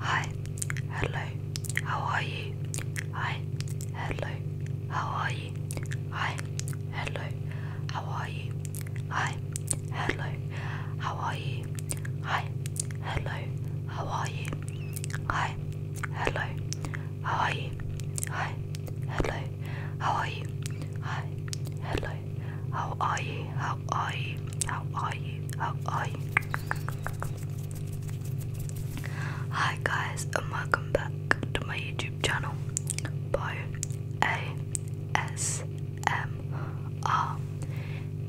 Hi, hello, how are you? Hi. Hello. How are you? Hi. Hello. How are you? Hi. Hello. How are you? Hi. Hello. How are you? Hi. Hello. How are you? Hi. Hello. How are you? How are you? How are you? How are you? Hi guys and welcome back to my YouTube channel by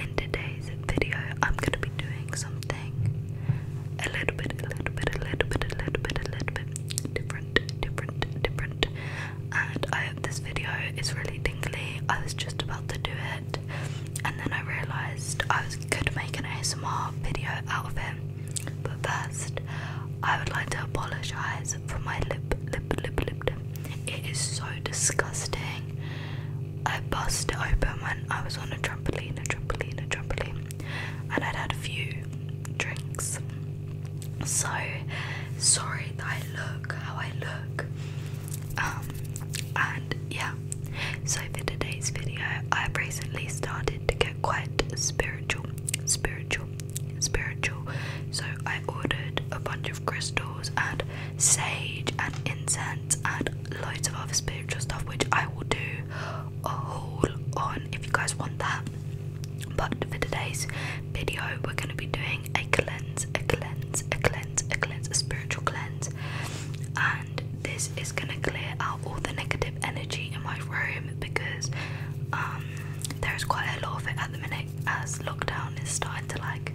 In today's video I'm gonna be doing something a little bit, a little bit, a little bit, a little bit, a little bit different, different, different. And I hope this video is really tingly. I was just about to do it and then I realised I was, could make an ASMR video out of it. But first, I would like to apologise for my lip, lip, lip, lip, lip. It is so disgusting. I bust it open when I was on a trampoline, a trampoline, a trampoline, and I'd had a few drinks. So sorry that I look how I look. Um, and yeah, so for today's video, I've recently started to get quite spiritual, spiritual, spiritual. So I ordered a bunch of crystals and sage and incense and loads of other spiritual stuff, which I will do a haul on if you guys want that. But for today's video, we're going to be doing a cleanse, a cleanse, a cleanse, a cleanse, a spiritual cleanse and this is gonna clear out all the negative energy in my room because um, there's quite a lot of it at the minute as lockdown is starting to like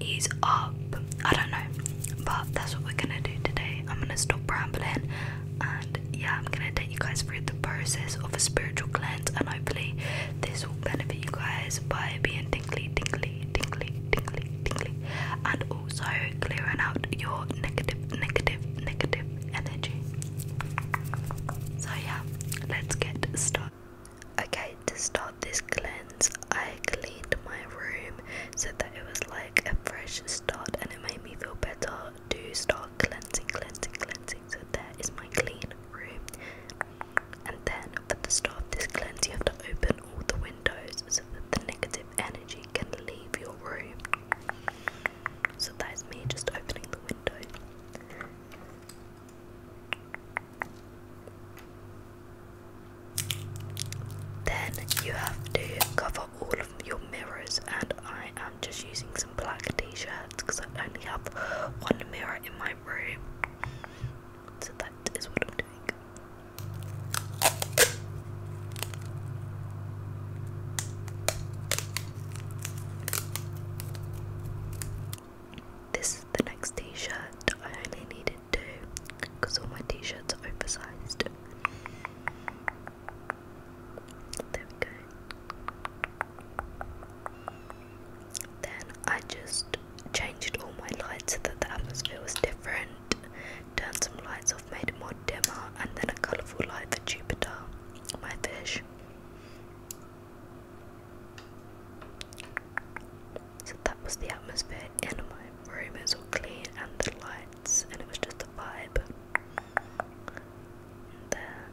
ease up. I don't know, but that's what we're gonna do today. I'm gonna stop rambling and yeah, I'm gonna take you guys through the process of a spiritual cleanse and hopefully this will benefit you guys by being tingly, tingly, tingly, tingly, tingly, and also clearing out your negative, negative, negative energy. So, yeah, let's get started. Okay, to start this cleanse, I cleaned my room so that it was like a fresh start and it made me feel better to start cleansing, cleansing, cleansing. So, there is my clean room. And then, at the start of this cleanse, you have to open all the windows so that the negative energy can leave your room. So that is me just opening the window. Then you have to cover all of your mirrors, and I am just using some black t shirts because I only have one mirror in my room. So that is what I'm doing. This is the next t-shirt. I only needed two because all my t-shirts are oversized. There we go. Then I just changed all my lights so that the atmosphere was different, turned some lights off, made it more dimmer, and then a colourful light for Jupiter, my fish. So that was the atmosphere in my room. It was all clean and the lights, and it was just a vibe. there.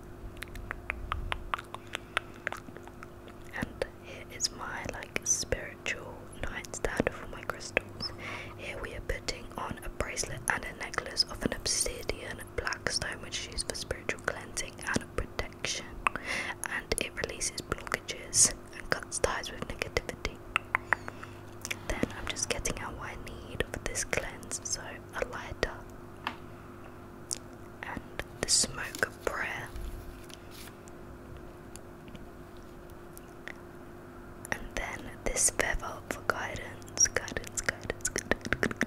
And here is my like spiritual nightstand for my crystals. Here we are putting on a bracelet and a necklace of an obsidian black stone, which is used for spiritual cleansing and protection. And it releases blockages and cuts ties with negativity. Then I'm just getting out what I need for this cleanse, so a lighter and the smoke of prayer. And then this bevel for guidance, guidance, guidance, guidance.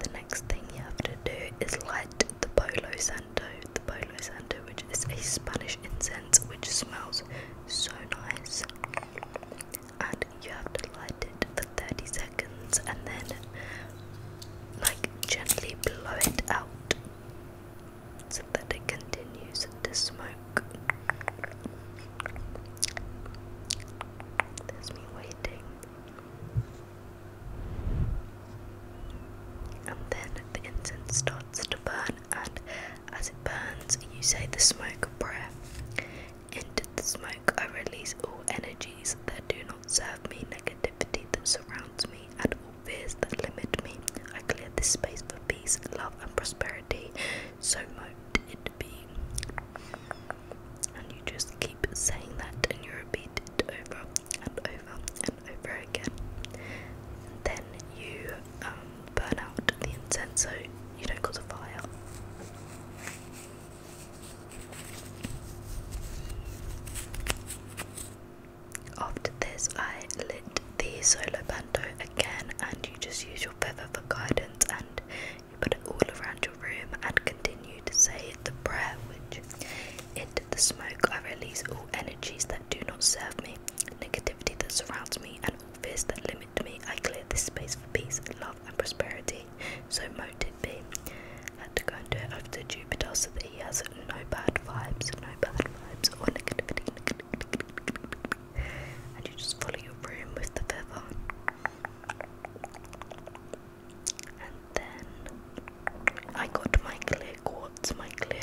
The next thing you have to do is light the polo santo, the polo santo, which is a Spanish incense which smells so nice and you have to light it for 30 seconds and then like gently blow it out so that it continues to smoke. There's me waiting. And then the incense starts to burn, and as it burns, you say the smoke prayer. Into the smoke, I release all energies that do not serve me, negativity that surrounds me, and all fears that limit me. I clear this space for peace, love, and prosperity. So mote it be. And you just keep saying that, and you repeat it over and over and over again. then you um, burn out the incense so you don't cause a fire. After this, I lit the solo bando again, and you just use your feather for guidance and you put it all around your room and continue to say the prayer, which into the smoke I release all energies that do not serve me negativity that surrounds me, and all fears that limit me. I clear this space for peace, love, and prosperity. So mote it be. I had to go and do it after Jupiter so that he has no bad vibes, no bad vibes, or negativity. And you just follow your room with the feather. And then I got my clear quartz, my clear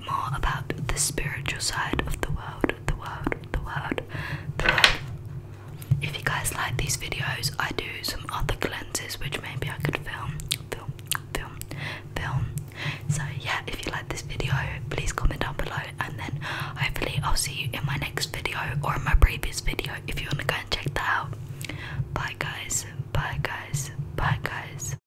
more about the spiritual side of the world, the world, the world, the world. If you guys like these videos, I do some other cleanses which maybe I could film, film, film, film. So yeah, if you like this video, please comment down below and then hopefully I'll see you in my next video or my previous video if you want to go and check that out. Bye guys, bye guys, bye guys.